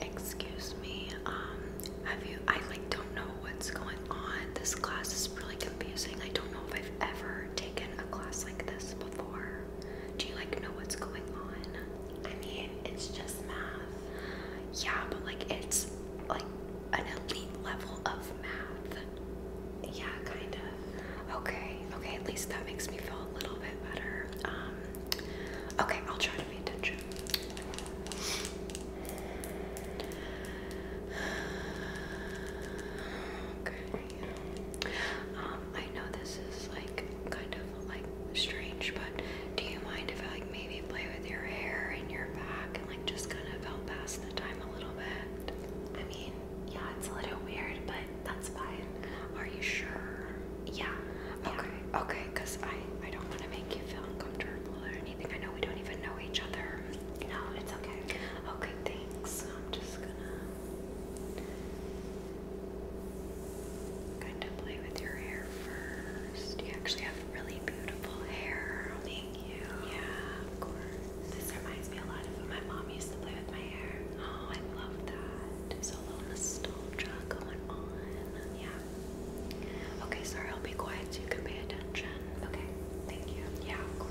Excuse me. Um, have you? I like don't know what's going on. This class is really confusing. I don't know if I've ever taken a class like this before. Do you like know what's going on? I mean, it's just math. Yeah, but like it's like an elite level of math. Yeah, kind of. Okay, okay, at least that makes me feel a little bit better. Um, okay, I'll try to pay attention. Okay. Um, I know this is like kind of like strange, but do you mind if I like maybe play with your hair and your back and like just kind of help pass the time a little bit? I mean, yeah, it's a little weird, but that's fine. Are you sure? Yeah. Okay. Okay, because I I don't want to make you feel uncomfortable or anything. I know we don't even know each other. No, it's okay. Okay, thanks. I'm just gonna kind of play with your hair first. You actually have really beautiful hair. Thank you. Yeah, of course. This reminds me a lot of when my mom used to play with my hair. Oh, I love that. So little nostalgia going on. Yeah. Okay, sorry, I'll be quiet so you can pay attention. Okay, thank you. Yeah, of course.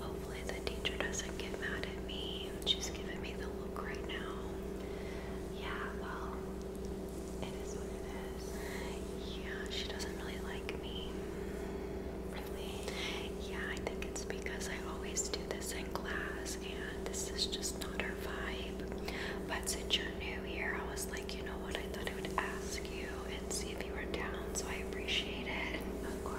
Hopefully, the teacher doesn't get mad at me. She's giving me the look right now. Yeah, well, it is what it is. Yeah, she doesn't really like me. Really? Yeah, I think it's because I always do this in class, and this is just not her vibe. But since you're new here, I was like, you know what? I thought I would ask you and see if you were down, so I appreciate it. Of course.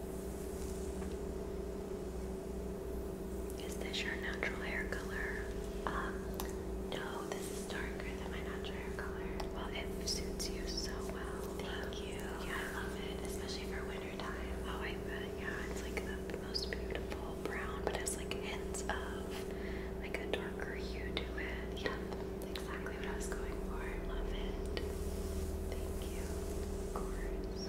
Is this your natural hair color? Um, no, this is darker than my natural hair color. Well, it suits you so well. Thank you. Yeah, I love it, especially for winter Oh, Yeah, it's like the most beautiful brown, but it's like hints of like a darker hue to it. Yep, exactly what I was going for. Love it. Thank you. Of course.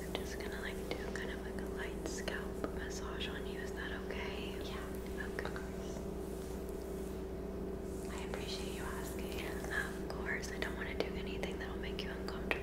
I'm just gonna like do kind of like a light scalp massage on you. Is that okay? Yeah. Of course. I appreciate you asking. Of course. I don't want to do anything that'll make you uncomfortable.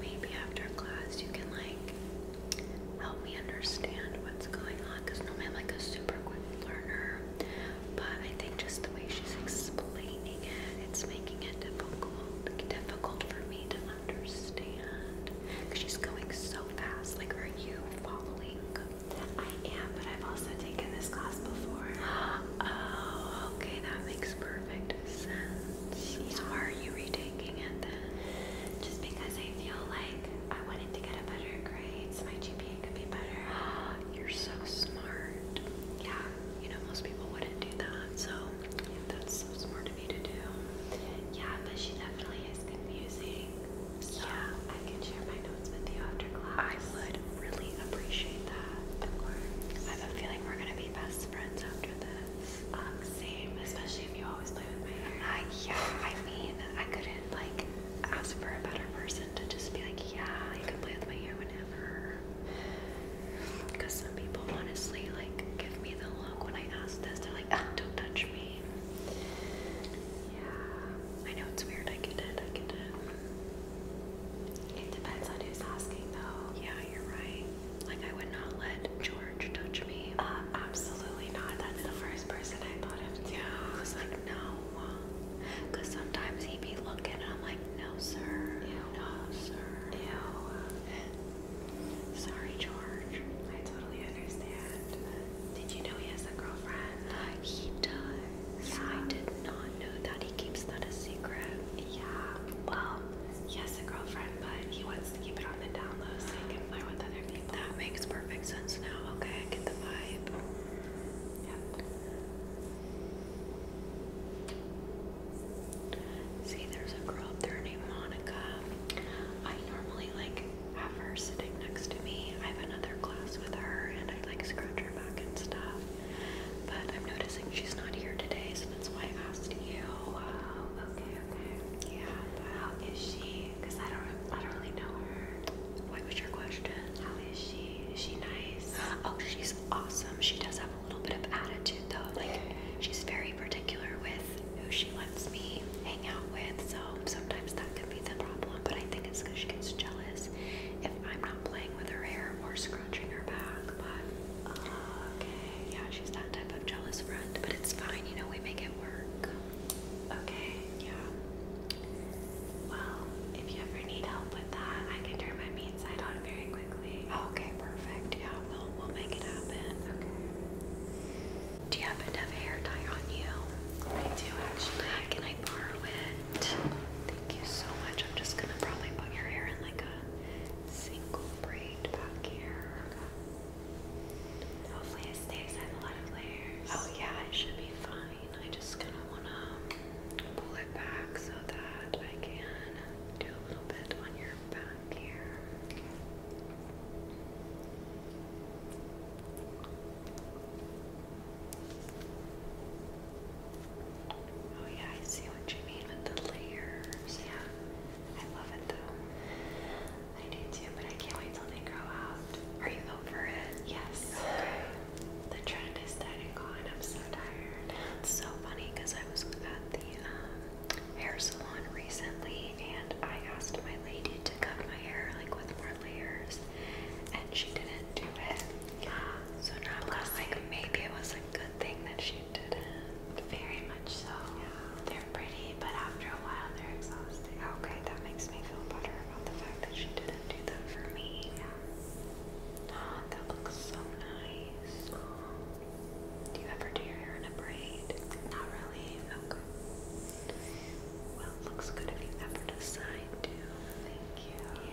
Maybe after class you can like help me understand what's going on because normally I'm like a super quick learner, but I think just the way she's explaining it, it's making it difficult, difficult for me to understand because she's going so fast. Like, are you following? I am, but I've also taken this class before. Oh, okay, that makes perfect sense. So why are you retaking it then? Just because I feel like I wanted to get a better grade, so my GPA could be better. You're so smart. Yeah, you know most people wouldn't do that, so that's smart yeah, but she definitely is confusing. yeah. I can share my notes with you after class. I would really appreciate that. Of course. I have a feeling we're gonna be best friends after this. Um, same, especially if you always play with my hair. yeah, I mean, I couldn't like ask for a better person to just be like, yeah, you can play with my hair whenever. Because some people honestly like give me when I asked this. They're like, ah. don't touch me. Yeah. I know it's weird. I get it. I get it. It depends on who's asking, though. Yeah, you're right. Like, I would not let George touch me. Um, absolutely not. That's the first person I thought of, too. I was like, no. Because sometimes he'd be looking, and I'm like, no, sir. Ew. No, sir. Ew. Sorry, George. I totally understand. Did you know he has a girlfriend? He does. Yeah. I did not know that. He keeps that a secret. Yeah. Well, he has a girlfriend, but he wants to keep it on the down low so he can flirt with other people. That makes perfect sense now. Okay, get the vibe. Yep. See, there's a girl up there named Monica. I normally like have her sitting next to me. I have another class with her and I like scratch her back and stuff. But I'm noticing she's not here today, so that's why I asked you. Wow, oh, okay, okay. Yeah, but how is she? Because I don't I don't really know her. What was your question? How is she? Is she nice? Oh, she's awesome. She does have a little bit of attitude though. Like she's very particular with who she lets me hang out with, so sometimes that can be the problem. But I think it's because she gets jealous if I'm not playing with her hair or scratching her back. But uh, okay, yeah, she's that type of jealous friend. But it's fine, you know, we make it work. Okay, yeah. Well, if you ever need help with that, I can turn my meat side on very quickly. Okay, perfect. Yeah, do you happen to have a hair dye on you? I do, actually. Can I borrow it? Thank you so much. I'm just gonna probably put your hair in like a single braid back here. Hopefully it stays. I have a lot of layers. Oh yeah, it should be fine. I just kind of want to pull it back so that I can do a little bit on your back. Oh yeah, I see what you mean with the layers. Yeah, I love it though. I do too, but I can't wait till they grow out. Are you over it? Yes. The trend is dead and gone. I'm so tired. so funny because I was at the um, hair salon recently and I asked my lady to cut my hair like with more layers and she didn't do it. So now I'm like maybe it was a good thing that she didn't. Very much so. Yeah. They're pretty, but after a while they're exhausted. Okay, that makes me feel better about the fact that she didn't do that for me. Yeah. Oh, that looks so nice. Do you ever do your hair in a braid? Not really. Okay. Well, looks good if you ever decide to. Thank you.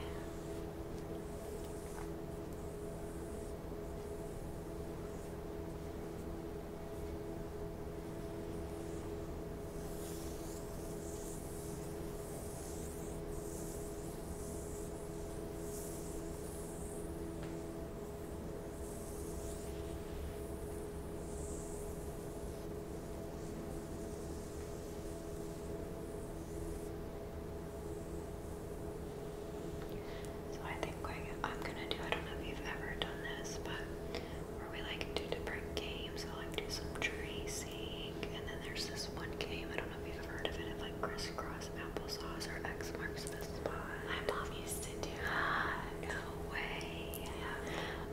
So I think I'm gonna do, I don't know if you've ever done this, but where we like do different games, I like do some tracing, and then there's this one game, I don't know if you've ever heard of it, it's like crisscross applesauce or X marks the spot. I'm used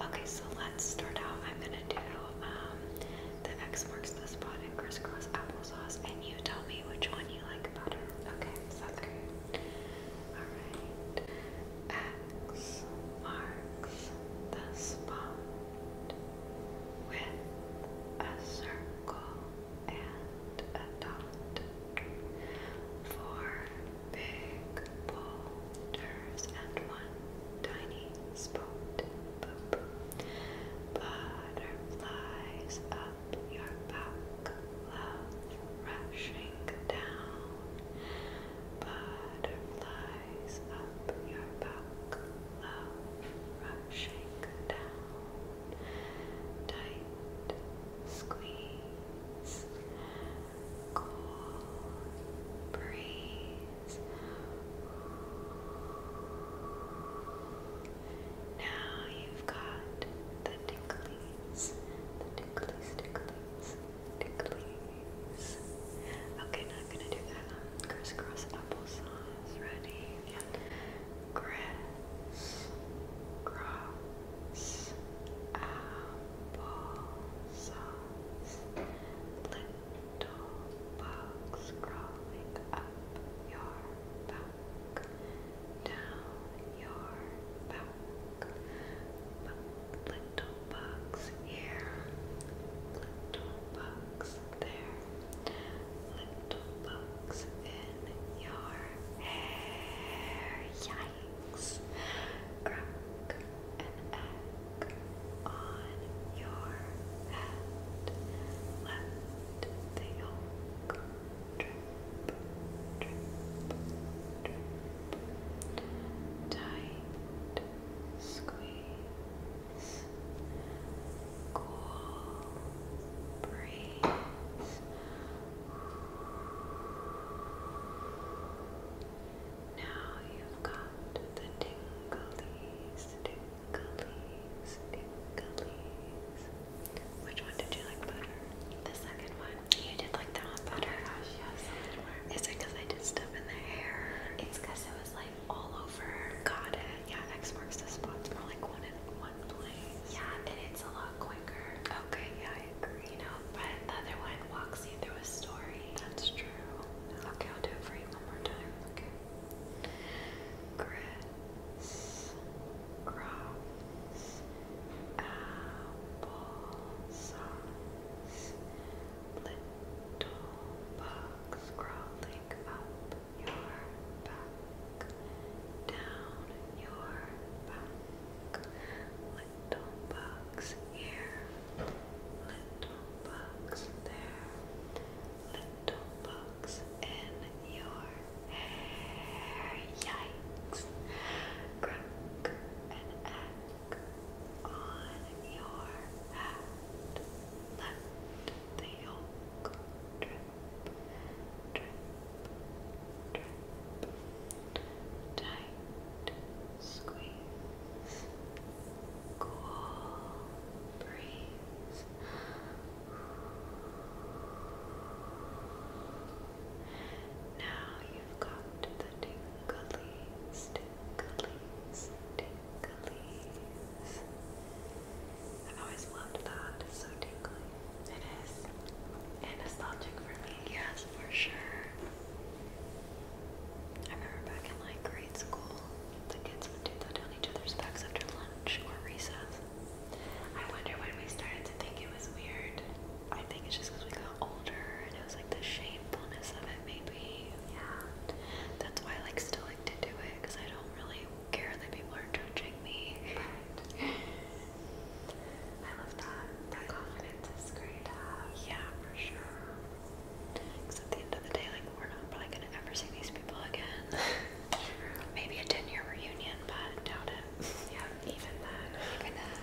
Okay, so let's start out. I'm gonna do um, the X marks the spot and crisscross applesauce, and you tell me which one you like better. Okay, sounds Alright. X marks the spot with a circle and a dot. Four big boulders and one tiny spot. Butterflies up your back, love rushing down. Butterflies up your back, love rushing down. Tight squeeze, cool, breeze. Now you've got the ticklies, the ticklies, ticklies, ticklies. Okay, now I'm gonna do that crisscross applesauce. Ready? Yeah. cross applesauce. Little bugs crawling up your back, down your back. little bugs here, little bugs there, little bugs in your hair. Yeah, eggs. Crack an on your head. Let the yolk Tight squeeze. Cool breeze now you've got the tinglies, tinglies, tinglies. Which one did you like better? The second one. You did like that one better. Oh yes. Yeah, Is it because I did stuff in the hair? It's because it was like all over. Got it. Yeah, X marks the spot's more like one in one place. Yeah, and it's a lot quicker. Okay, yeah, you know, but the other one walks you through a story. That's true. Okay, I'll do it for you one more time. Okay. Chris Cross Apple Little Bugs crawling up your back. Down your back. Little bugs here, little bugs there, little bugs in your hair. Yikes! Crack an egg on your hat. Let the yolk drip tight, squeeze, cool, breeze. Now you've got the tinglies, tinglies, tinglies. I've always loved that. so tingly. It is. And nostalgic for me. Yes, for sure. I remember back in like grade school, the kids would do that on each other's backs after lunch or recess. I wonder when we started to think it was weird. I think it's just because we got older and it was like the shamefulness of it, maybe. Yeah. That's why I like still like to do it because I don't really care that people are judging me. I love that. That confidence is great Yeah, for sure. Because the end of the day, like, we're not probably going to ever see these people again. Maybe a 10 year reunion, but doubt it. Yeah, even then. Even then.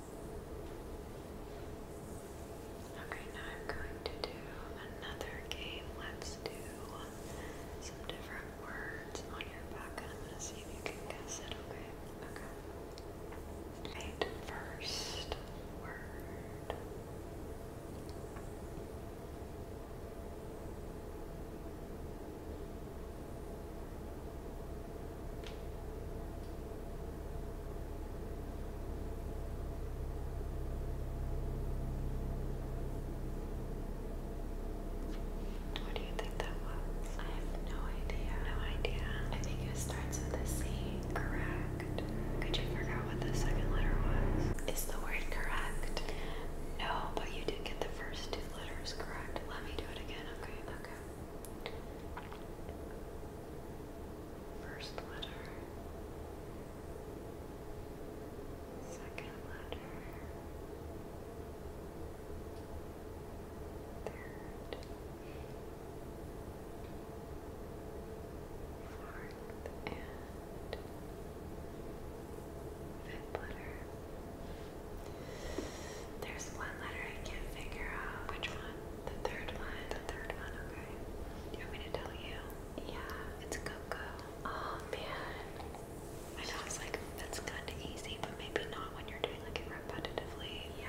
Okay, now I'm going to do another game. Let's do some different words on your back, I'm going to see if you can guess it, okay? Okay. Right, first word. What do you think that was? I have no idea. No idea. I think it starts with a C. Correct. Could you figure what the second letter was? Is the word correct? No, but you did get the first two letters correct. Let me do it again, okay? Okay. First letter, second letter, third, fourth, and fifth letter. There's one letter I can't figure out which one. The third one. The third one, okay. Do you want me to tell you? Yeah. It's Coco. Oh man. I know it's like that's kinda easy, but maybe not when you're doing like it repetitively. Yeah.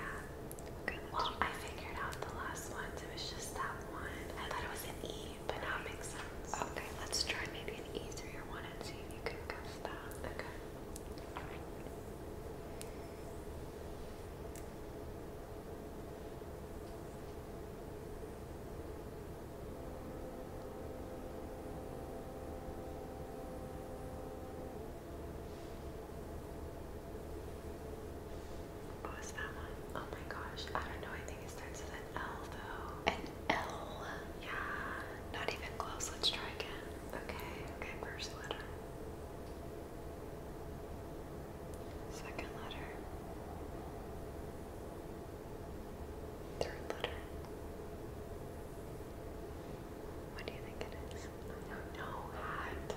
Okay. Well, I figured out the last ones. It was just that one. I thought it was an E, but now it makes sense. Okay, let's try maybe an easier one and see if you can guess that. Okay. What was that one? Oh my gosh, I don't know. I think it starts with an L though. An L? Yeah. Not even close. Let's try again. Okay, okay, first letter. Second letter. Third letter. What do you think it is? I don't know. Hat.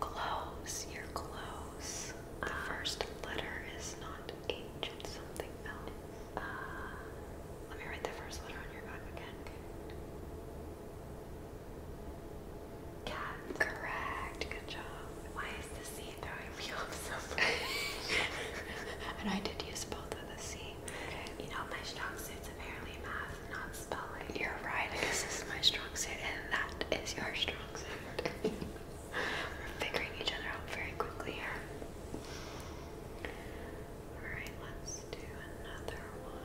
Close. You're close. The ah. first letter is not H. It's something else. Ah. let me write the first letter on your back again. Cat. Correct. Good job. Why is the C throwing me off so much? and I did use both of the C. You know, my strong suit's apparently math, not spelling. You're right. this is my strong suit, and that is your strong suit. We're figuring each other out very quickly here. Alright, do another one.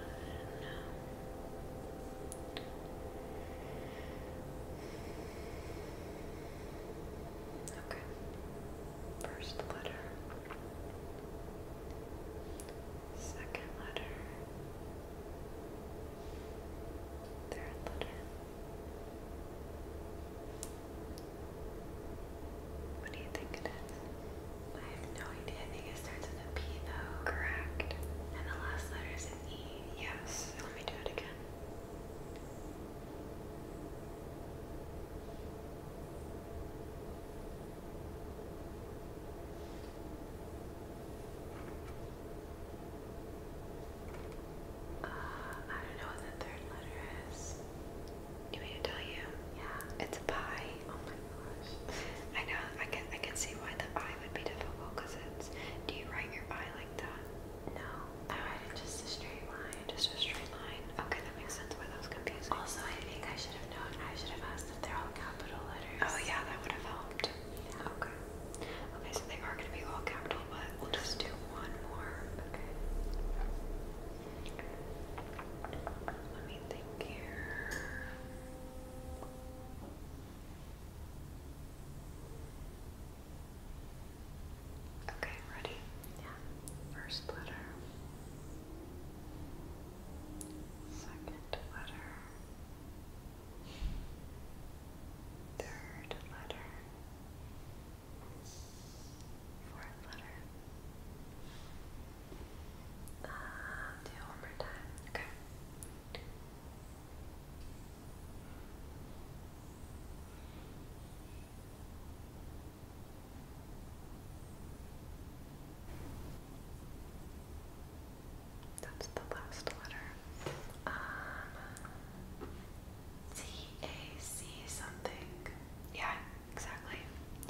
Okay. First letter. Second letter. Third letter. What do you think it is? I have no idea. I think it starts with a P though. Correct. And the last letter is E. Yes. Let me do it again. Uh, I don't know what the third letter is. You mean to tell you? Yeah. It's a pie. I know. I can. I can see why the eye would be difficult. Cause it's. Do you write your eye like that? No. I write just a straight line. Just a straight line. Okay, that makes sense. Why that was confusing. Also, I think I should have known. I should have asked if they're all capital letters. Oh yeah, that would have helped. Okay. Okay, so they are going to be all capital, but we'll just do one more. Okay. Let me think here. Okay, ready? Yeah. First letter. Second letter. Third letter. Fourth letter. Uh, do one more time. Okay. That's the last letter. Um, something. Yeah, exactly.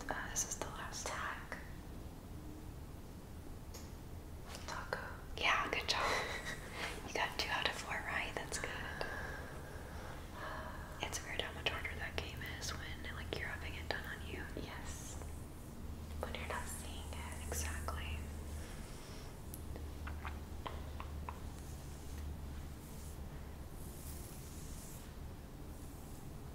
Uh, this is the last tag. Yeah, good job. you got two out of four right. That's good. It's weird how much harder that game is when like you're having it done on you. Yes. When you're not seeing it. Exactly.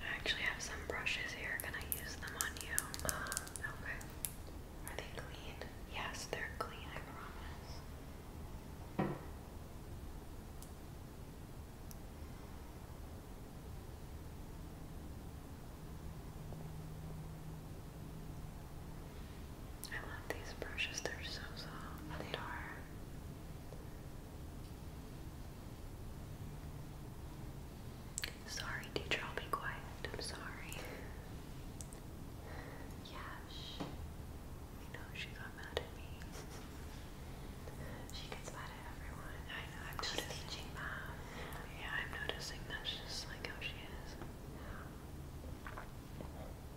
I actually have some brushes here. Can I use them on you? Uh, okay. Are they clean? Yes, they're clean, I promise. I love these brushes, they're so soft. They are. Sorry, teacher, I'll be quiet. I'm sorry. Yes. I know she got mad at me. She gets mad at everyone. I am teaching math. Yeah, I'm noticing that's just like how she is.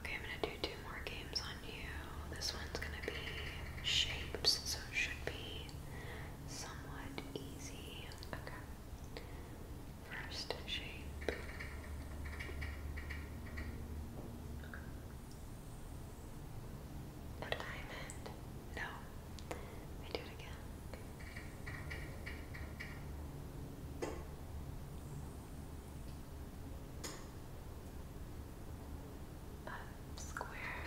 Okay, I'm gonna do two more games on you. This one's gonna be shapes, so it should be somewhat easy. Okay. First shape. A diamond? No. Let me do it again. A square.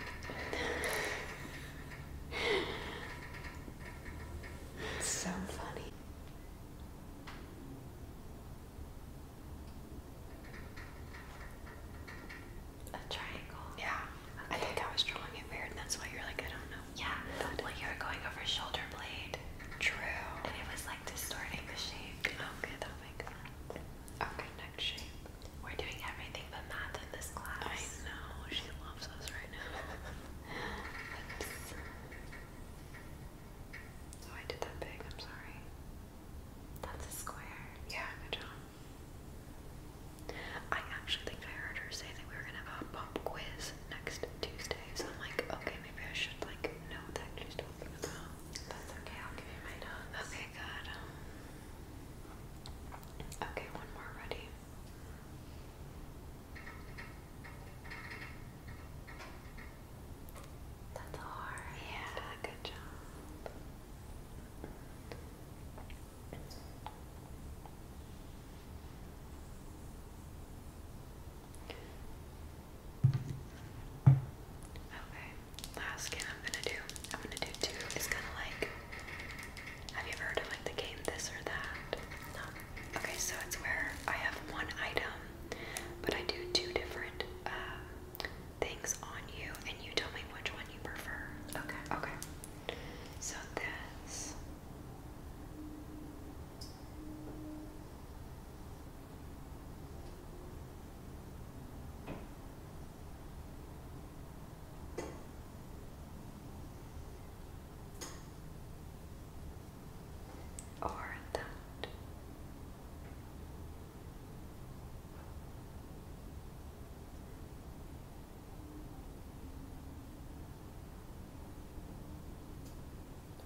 so funny. A triangle. Yeah. I think I was drawing it weird, that's why you're like, I don't know. Yeah. But well, you were going over shoulder blade. True. And it was like distorting the shape. Okay, that makes Okay, next shape. We're doing everything but math in this class. I know. She loves us right now. Oops. Oh, I did that big. I'm sorry. That's a square. Yeah, good job. I actually think I heard her say that we were gonna have a pop quiz next Tuesday, so I'm like, okay, maybe I should like know what she's talking about. That's okay, I'll give you my notes. Okay, good. Okay, one more ready. That's hard. Yeah, good job. Okay, last game I'm gonna do, I'm gonna do two. It's kind of like, have you ever heard of like the game This or That? No. Okay, so it's where I have one item, but I do two different uh, things on you and you tell me which one you prefer. Okay. Okay. So this. Or that.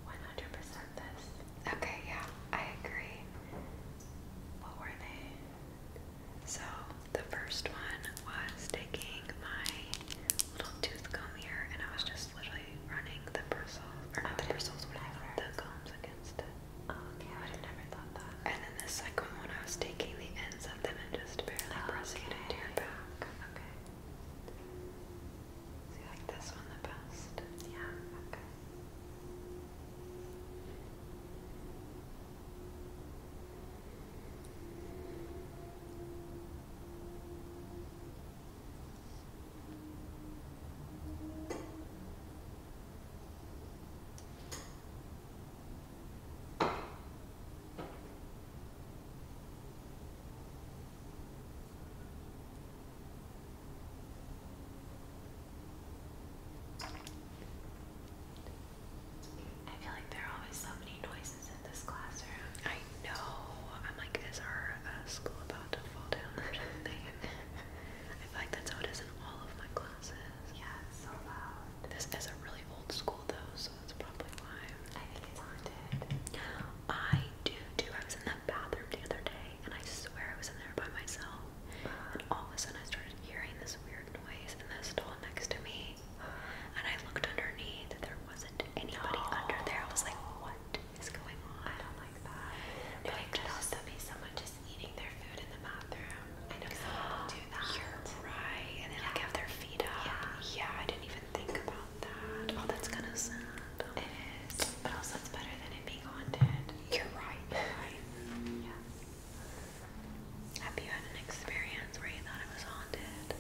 One hundred percent Okay, yeah, I agree. What were they? So the first one was taking my little tooth comb here, and I was just literally running the bristles, or not the bristles, what the combs against it. And then the second one, I was taking the ends of them and just barely pressing it into your back. Okay. you like this one the best? Yeah. Okay. I feel like there are always so many noises in this classroom. I know. I'm like, is our uh, school about to fall down or something? I feel like that's how it is in all of my classes. Yeah, it's so loud. This is a really old school though, so that's probably why. I think it's haunted. I do too. I was in that bathroom the other day, and I swear I was in there by myself. And all of a sudden, I started hearing this weird noise in the stall next to me. And I looked underneath, and there wasn't anybody no. under there. I was like, what? is going on. I don't like that. No, but it could also be someone just eating their food in the bathroom. I know some people do that. You're right. And they like have their feet up. Yeah. yeah, I didn't even think about that. Oh, that's kind of sad. It is. But also, it's better than it being haunted. You're right. You're right. Yeah. Have you had an experience where you thought it was haunted?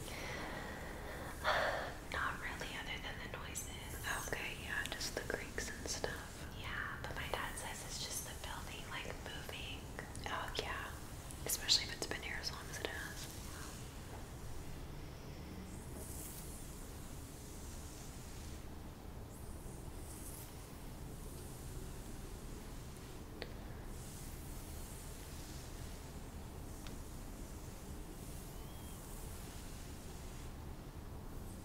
Not really, other than the noises. Okay, yeah, just the creaks and stuff. Yeah, but my dad says it's just the building like moving. Oh yeah, especially if it's been here as long as it has.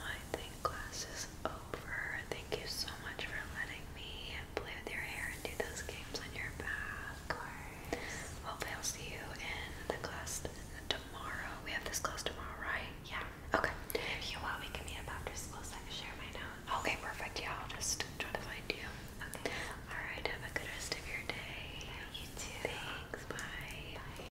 I think class is over. Thank you so much for letting me play with your hair and do those games on your back. Hopefully I'll see you in the class tomorrow. We have this class tomorrow, right? Yeah. Okay. If you want, we can meet after school so I can share my notes. Okay, perfect. Yeah, I'll just try to find you. Okay. Alright, have a good rest of your day. you too. Thanks. Bye.